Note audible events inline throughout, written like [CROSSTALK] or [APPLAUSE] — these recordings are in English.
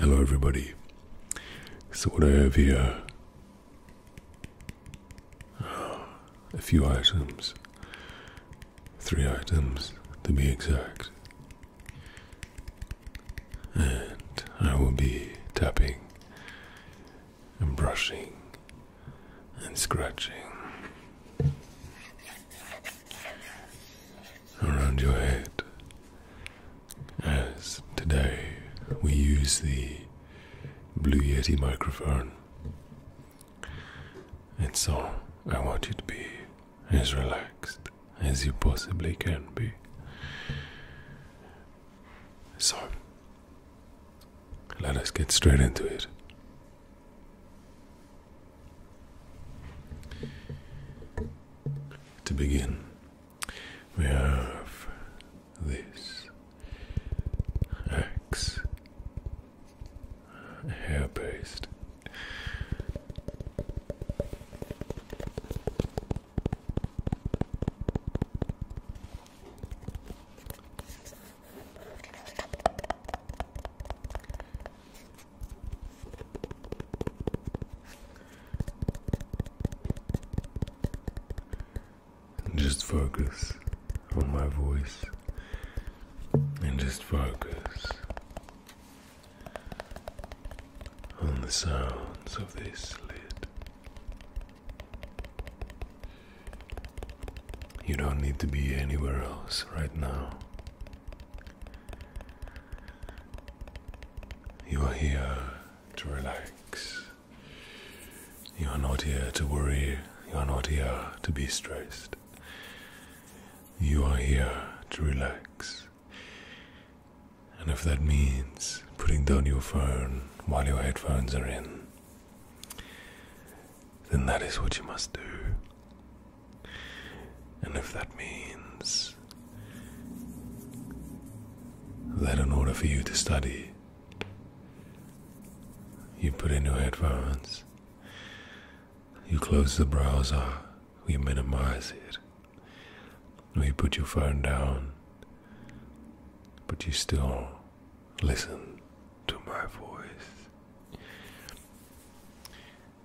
Hello, everybody. So, what I have here a few items, three items to be exact, and I will be tapping and brushing and scratching around your head. As today we use the Blue Yeti microphone. And so I want you to be as relaxed as you possibly can be. So let us get straight into it. To begin, we have this axe hair paste just focus on my voice and just focus on the sounds of this lid. You don't need to be anywhere else right now. You are here to relax. You are not here to worry. You are not here to be stressed. You are here to relax. And if that means putting down your phone while your headphones are in, then that is what you must do. And if that means that in order for you to study, you put in your headphones, you close the browser, you minimize it, you put your phone down, but you still listen to my voice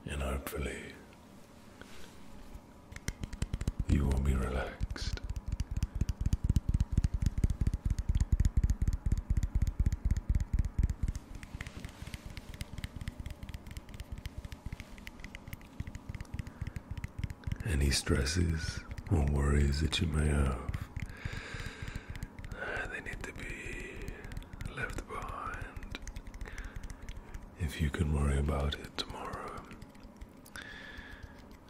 and hopefully you will be relaxed. Any stresses or worries that you may have, they need to be left behind. If you can worry about it tomorrow,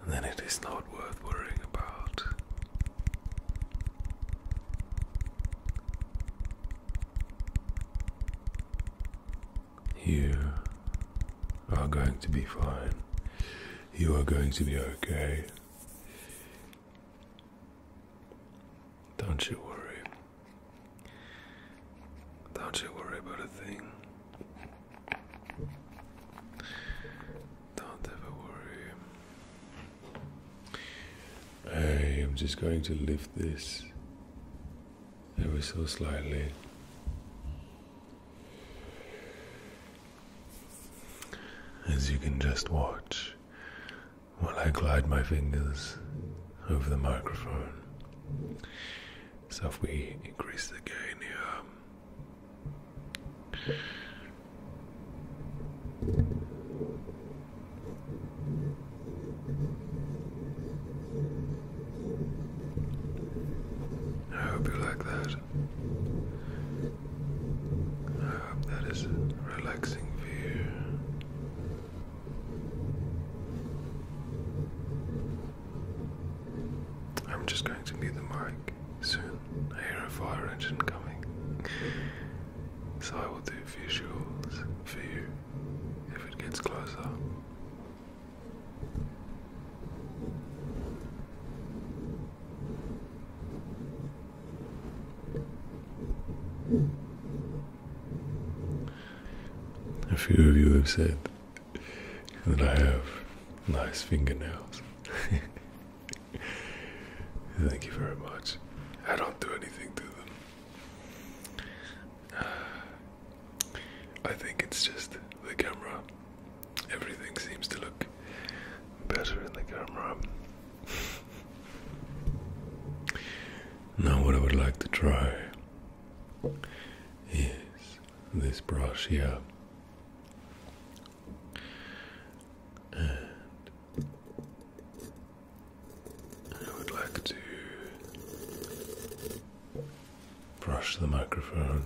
then it is not worth worrying about. You are going to be fine. You are going to be okay. Don't you worry. Don't you worry about a thing. Don't ever worry. I am just going to lift this ever so slightly. As you can just watch while I glide my fingers over the microphone. So if we increase the gain here. I hope you like that. I hope that is relaxing for you. I'm just going to mute the mic soon. I hear a fire engine coming. So I will do visuals for you if it gets closer. A few of you have said that I have nice fingernails. [LAUGHS] Thank you very much. I don't do anything to them. [SIGHS] I think it's just the camera. Everything seems to look better in the camera. [LAUGHS] Now, what I would like to try is this brush here. And I would like to brush the microphone.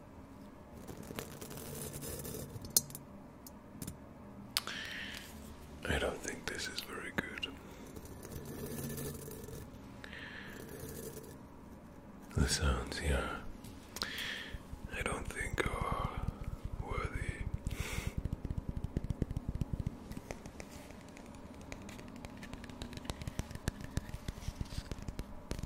I don't think this is very good. The sounds yeah, I don't think are worthy.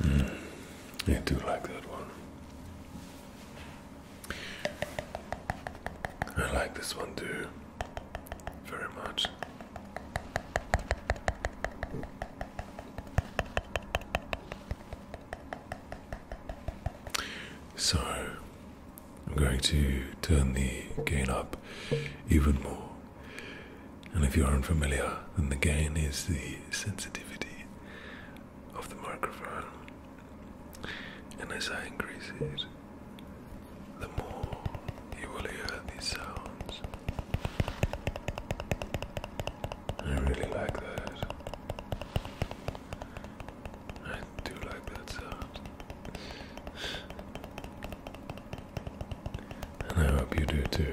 I hmm. do like that one. I like this one too very much. So, I'm going to turn the gain up even more. And if you're unfamiliar, then the gain is the sensitivity of the microphone. And as I increase it, the more you will hear these sounds. I really like that. I do like that sound. And I hope you do too.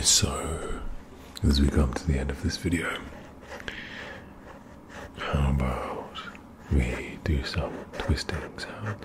So, as we come to the end of this video, how about we do some twisting sounds?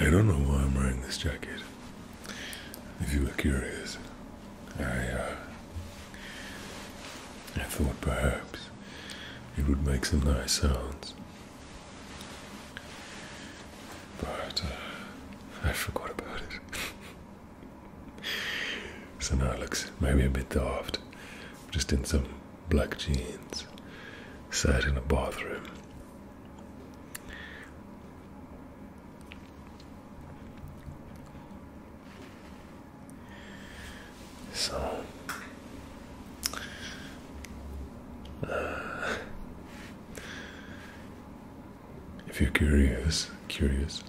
I don't know why I'm wearing this jacket. If you were curious, I uh, I thought perhaps it would make some nice sounds, but uh, I forgot about it. [LAUGHS] so now it looks maybe a bit daft, just in some black jeans, sat in a bathroom. So, uh, if you're curious, curious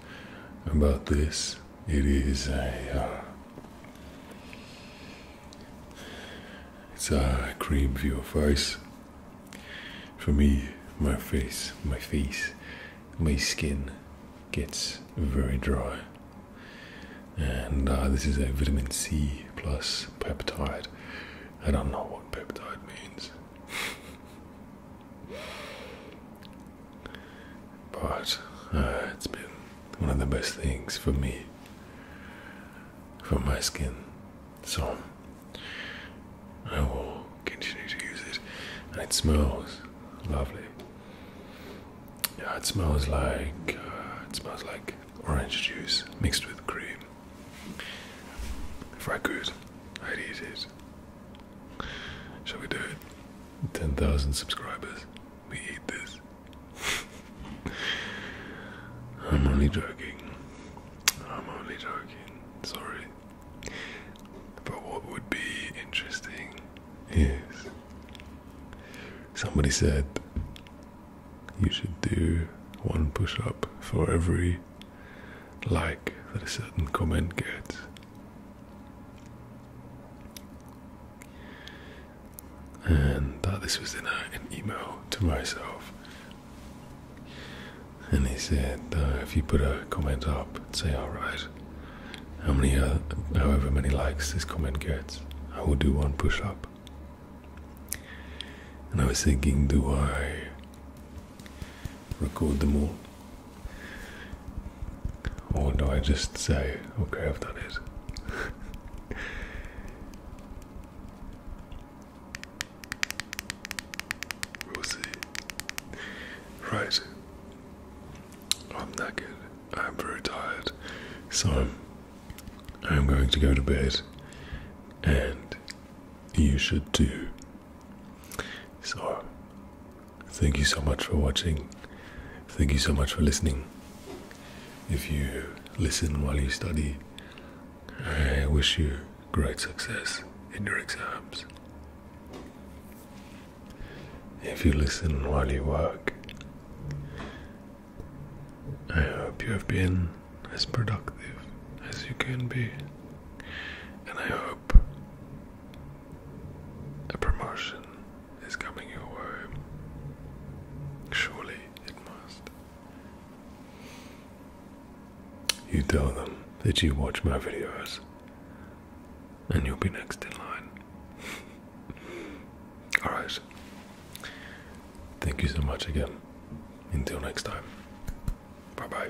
about this, it is a. Uh, it's a cream for your face. For me, my face, my face, my skin gets very dry. And uh, this is a vitamin C plus peptide. I don't know what peptide means. But uh, it's been one of the best things for me, for my skin. So I will continue to use it. And it smells lovely. Yeah, it smells like uh, it smells like orange juice mixed with cream. If I could, I'd eat it Shall we do it? 10,000 subscribers. We eat this. [LAUGHS] I'm only joking. I'm only joking. Sorry. But what would be interesting is somebody said you should do one push up for every like that a certain comment gets and that this was in an email to myself. And he said, uh, if you put a comment up and say, alright, how many, uh, however many likes this comment gets, I will do one push up. And I was thinking, do I record the all or do I just say, okay, I've done it? [LAUGHS] we Right. I'm knackered. I'm very tired. So I'm going to go to bed and you should too. So Thank you so much for watching. Thank you so much for listening. If you listen while you study, I wish you great success in your exams. If you listen while you work, I hope you have been as productive as you can be, and I hope a promotion is coming your way. Surely it must. You tell them that you watch my videos, and you'll be next in line. [LAUGHS] Alright. Thank you so much again. Until next time. Bye bye.